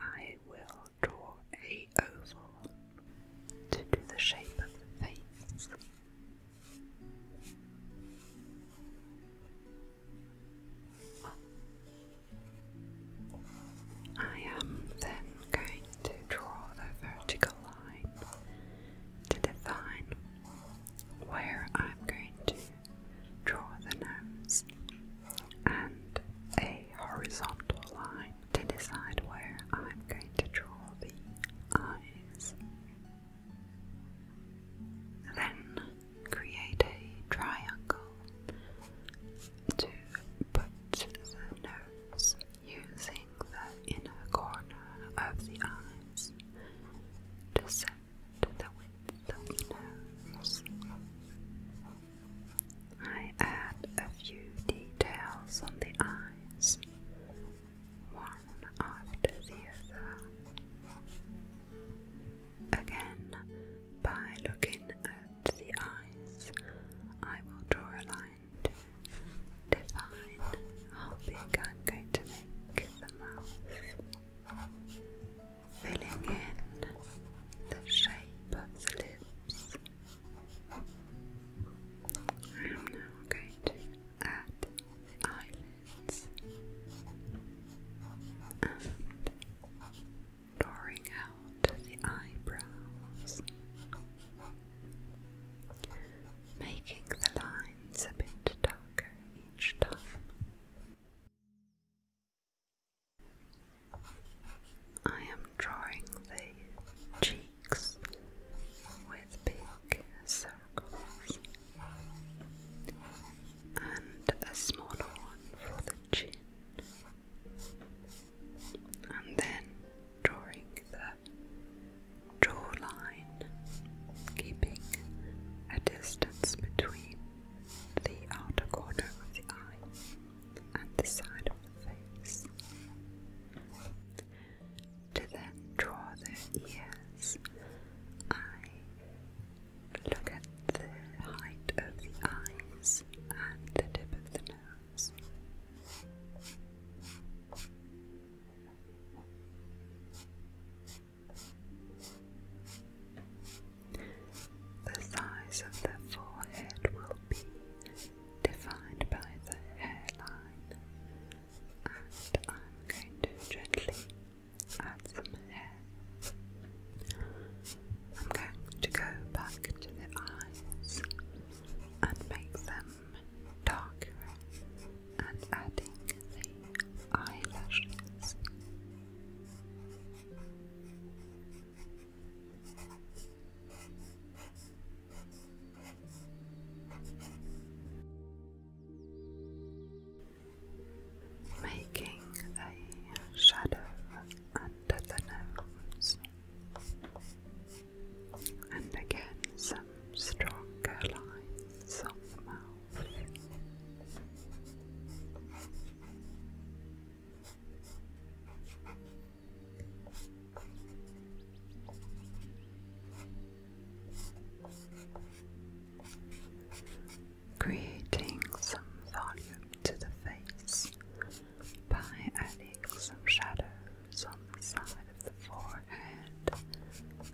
I will draw a oval to do the shape of the face. I am then going to draw the vertical line to define where I'm going to draw the nose, and a horizontal line to decide where I'm going to draw the eyes. Then create a triangle to put the nose using the inner corner of the eyes to set the width of the nose. I add a few details on the eyes, one after the other. Again, by looking at the eyes, I will draw a line to define how big I'm going to make the mouth filling in the shape of the lips. now going to add eyelids and drawing out the eyebrows, making the lines a bit darker each time. I am drawing the cheeks with big circles and a smaller one for the chin, and then drawing the jawline, keeping a distance between the outer corner of the eye and the side of the face. To then draw the ears, I look at the height of the eyes and the tip of the nose. The size of the forehead will be defined by the hairline, and I'm going to gently add some hair. I'm going to go back to the eyes and make them darker and adding the eyelashes. Making a shadow under the nose, and again some stronger lines on the mouth. Creating some volume to the face by adding some shadows on the side of the forehead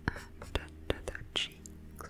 and under the cheeks.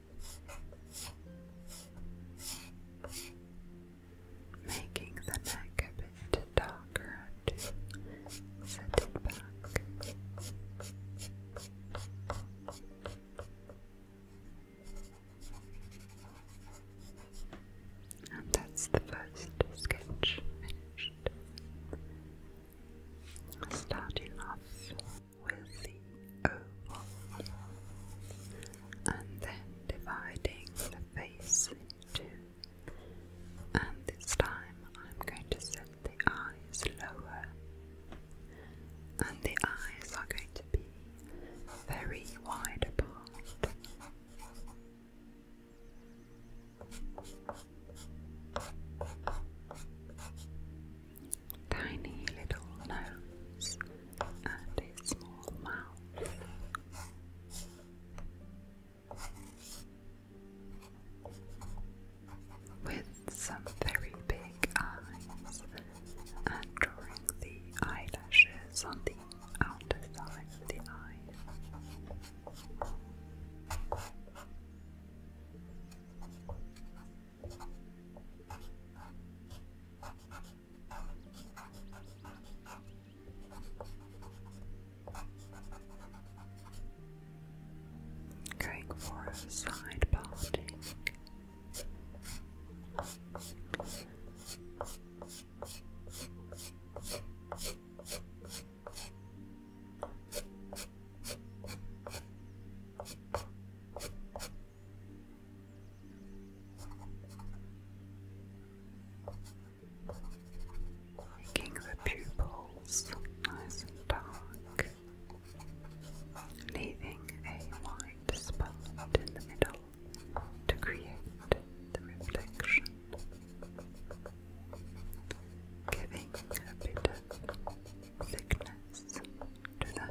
making the neck a bit darker to back. And that's the first sketch finished. Starting off with the oval, and then dividing the face in two. And this time I'm going to set the eyes lower, and the eyes are going to be very wide apart tiny little nose and a small mouth. With some very big eyes and drawing the eyelashes on the outer side of the eye. Going for a side parting. Making the pupils nice and dark, leaving a white spot in the middle to create the reflection, giving a bit of thickness to the hair.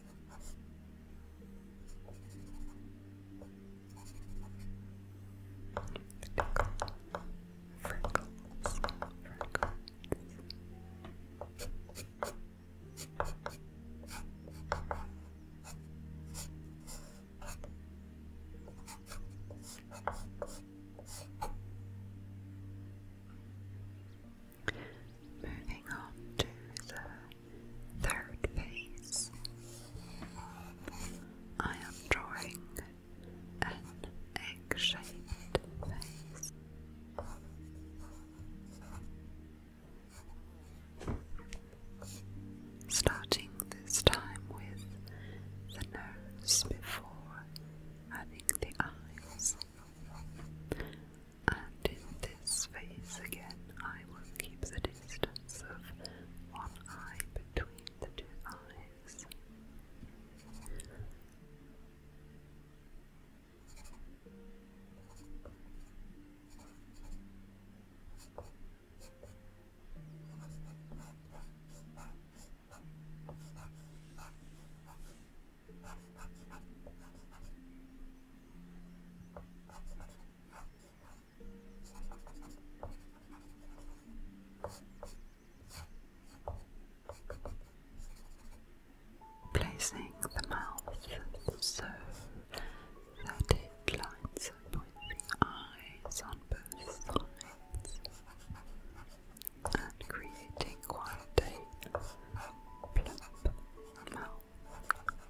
Freckles. Moving on to the Third phase. I am drawing an egg shaped face. Starting this time with the nose before adding the eyes and in this phase again I will keep the distance of one eye between the two eyes. Placing the mouth so that it lines up with the eyes on both sides and creating quite a plump mouth.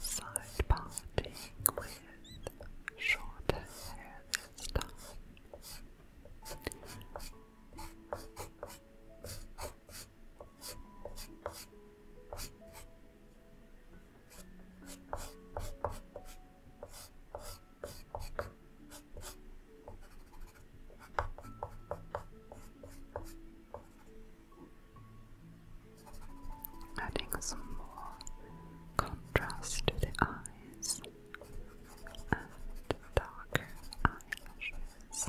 Side parting with short hair Adding some more contrast to the eyes and darker eyelashes.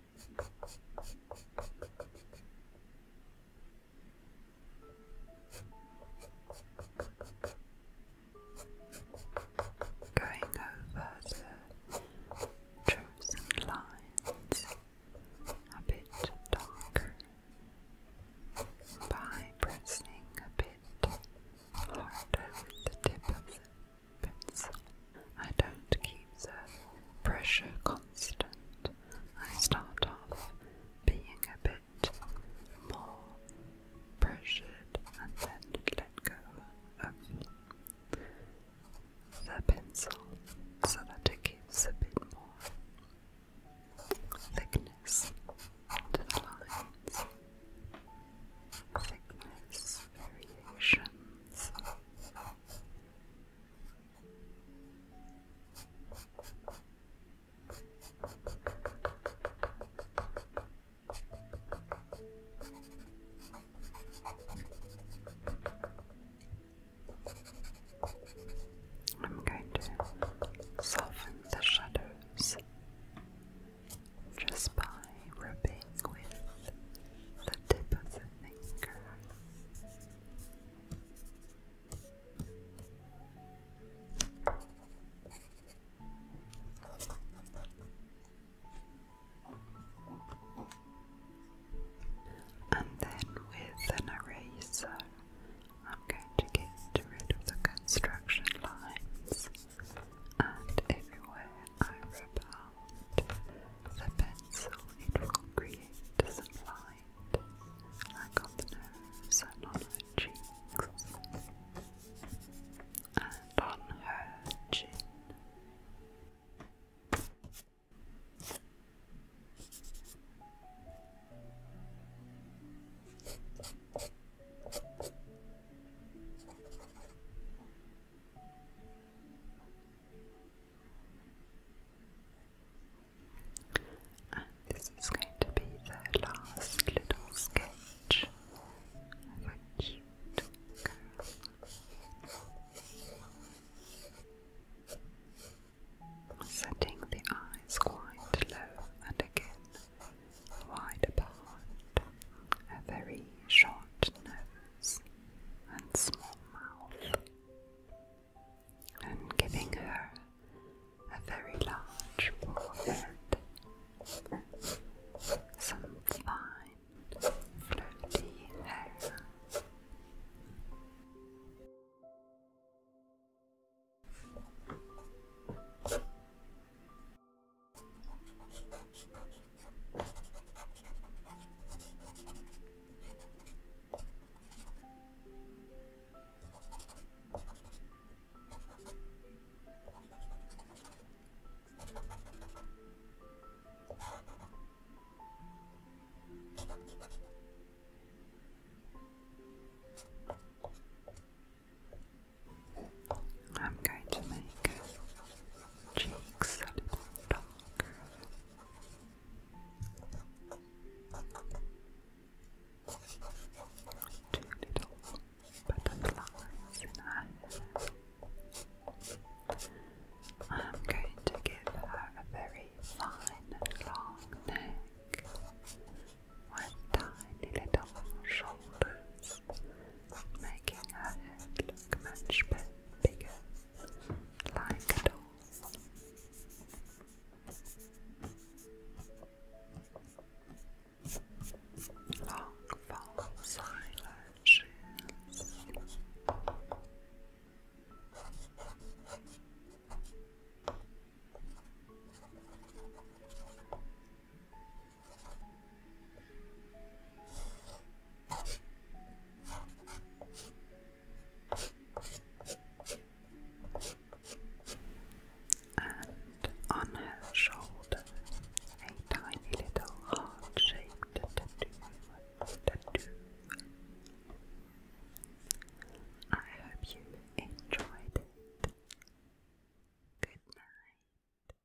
Going over the truths lines a bit darker by pressing a bit harder with the tip of the pencil. I don't keep the pressure constant. I start off being a bit more pressured and then let go of the pencil so that it gives a bit more thickness to the lines. Thickness variations. I'm going to soften the shadows just by rubbing with the tip of thinker. And then with an eraser, I'm going to get rid of the construction lines and everywhere I rub around the pencil, it will create some light, like on the nose and on her cheeks, and on her chin this is going to be the last little sketch of Setting the eyes quite low and again wide apart, a very short nose, and small mouth, and giving her a very large forehead, some fine, floaty hair. I'm going to make cheeks dark. Two little butterflies I'm going to give her a very fine long neck with tiny little shoulders making her head look much bigger, like a doll. Long false eyelashes. And on her shoulder, a tiny little heart shaped tattoo. I hope you enjoyed it. Good night.